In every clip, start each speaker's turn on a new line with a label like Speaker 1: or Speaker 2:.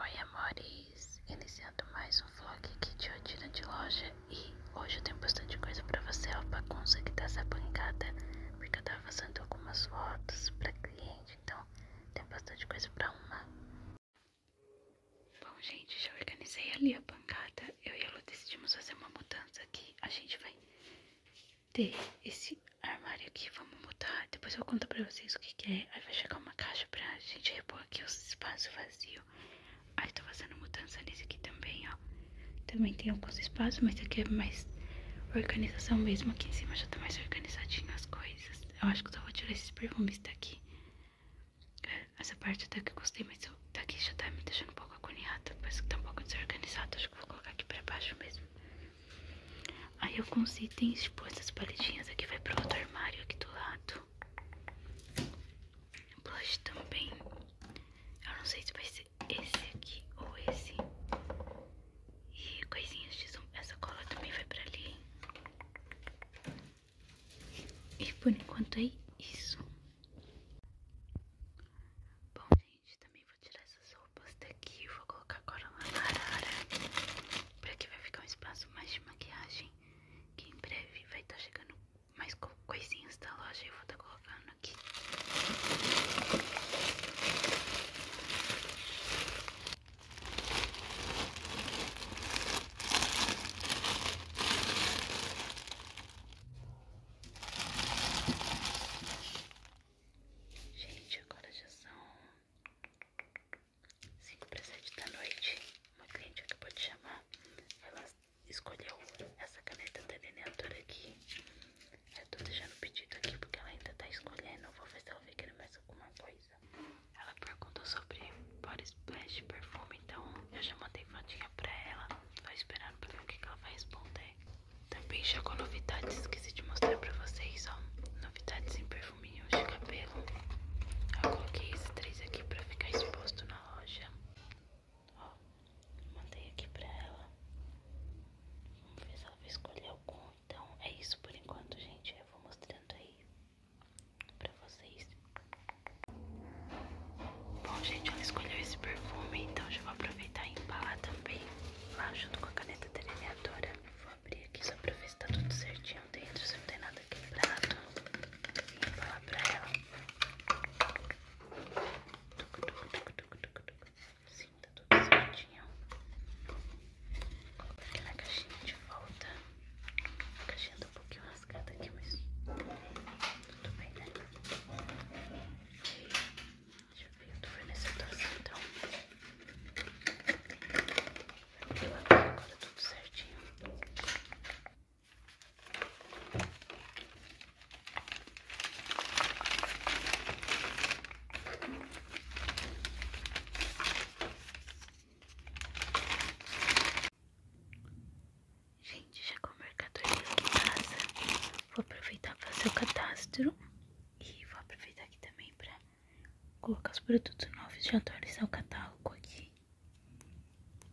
Speaker 1: Oi amores, iniciando mais um vlog aqui de rotina de loja e hoje eu tenho bastante coisa pra você, ó, a bagunça que tá essa bancada, porque eu tava fazendo algumas fotos pra cliente, então tem bastante coisa pra uma. Bom gente, já organizei ali a bancada, eu e ela decidimos fazer uma mudança aqui, a gente vai ter esse armário aqui, vamos mudar. Depois eu conto pra vocês o que, que é. Aí vai chegar uma caixa pra gente repor aqui o espaço vazio. Aí tô fazendo mudança nesse aqui também, ó. Também tem alguns espaços, mas aqui é mais organização mesmo. Aqui em cima já tá mais organizadinho as coisas. Eu acho que eu só vou tirar esses perfumes daqui. É, essa parte até tá que eu gostei, mas eu, daqui já tá me deixando um pouco agoniada. Parece que tá um pouco desorganizado. Acho que vou colocar aqui pra baixo mesmo. Aí alguns itens, pôr essas paletinhas aqui, vai pro outro armário aqui do lado. Blush também. Eu não sei se vai ser esse aqui ou esse. E coisinhas de zoom. Essa cola também vai pra ali. E por enquanto é isso. Bom, gente também vou tirar essas roupas daqui e vou colocar agora uma arara. Pra que vai ficar um espaço mais de maquiagem. Que em breve vai estar tá chegando mais coisinhas da loja e vou estar tá colocando aqui. Gente, agora já são 5 para 7 da noite. Uma cliente acabou de chamar. Ela escolheu essa caneta delineadora aqui. Eu tô deixando o pedido aqui porque ela ainda tá escolhendo. Eu vou ver se ela vai querer mais alguma coisa. Ela perguntou sobre body splash perfume, então eu já mandei fotinha pra ela. Tô esperando pra ver o que ela vai responder. Também já com novidades, esqueci de mostrar pra vocês, ó. Novidades em perfuminhos de cabelo. Eu coloquei esses três aqui pra ficar exposto na loja. mandei aqui pra ela. Vamos ver se ela vai escolher algum. Então, é isso por enquanto, gente. Eu vou mostrando aí pra vocês. Bom, gente, ela escolheu esse perfume, então já vou aproveitar e embalar também lá junto com a caneta delineadora. Vou abrir aqui só pra ver se tá tudo certinho dentro, se não tem nada quebrado. E embalar pra ela. Sim, tá tudo certinho. Vou aqui na caixinha de volta. A caixinha tá um pouquinho rasgada aqui, mas tudo bem, né? Deixa eu ver do fornecedor central. Eu abri agora tudo certinho. Gente, chegou o mercadoria tá aqui em casa. Vou aproveitar para fazer o cadastro. E vou aproveitar aqui também para colocar os produtos novos. Já atualizar o catálogo aqui.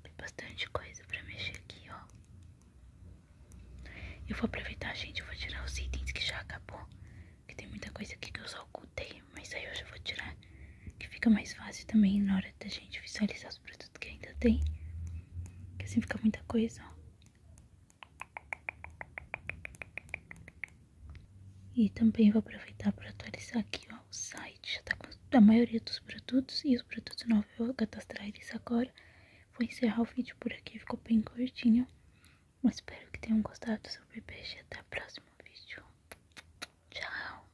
Speaker 1: Tem bastante coisa para mexer aqui, ó. Eu vou aproveitar, gente. vou tirar os itens que já acabou. Que tem muita coisa aqui que eu só ocultei. Mas aí eu já vou tirar que fica mais fácil também na hora da gente visualizar os produtos que ainda tem. Que assim fica muita coisa, ó. E também vou aproveitar para atualizar aqui ó, o site. Já tá com a maioria dos produtos e os produtos novos eu vou cadastrar eles agora. Vou encerrar o vídeo por aqui, ficou bem curtinho. Mas espero que tenham gostado sobre peixe. Até o próximo vídeo. Tchau.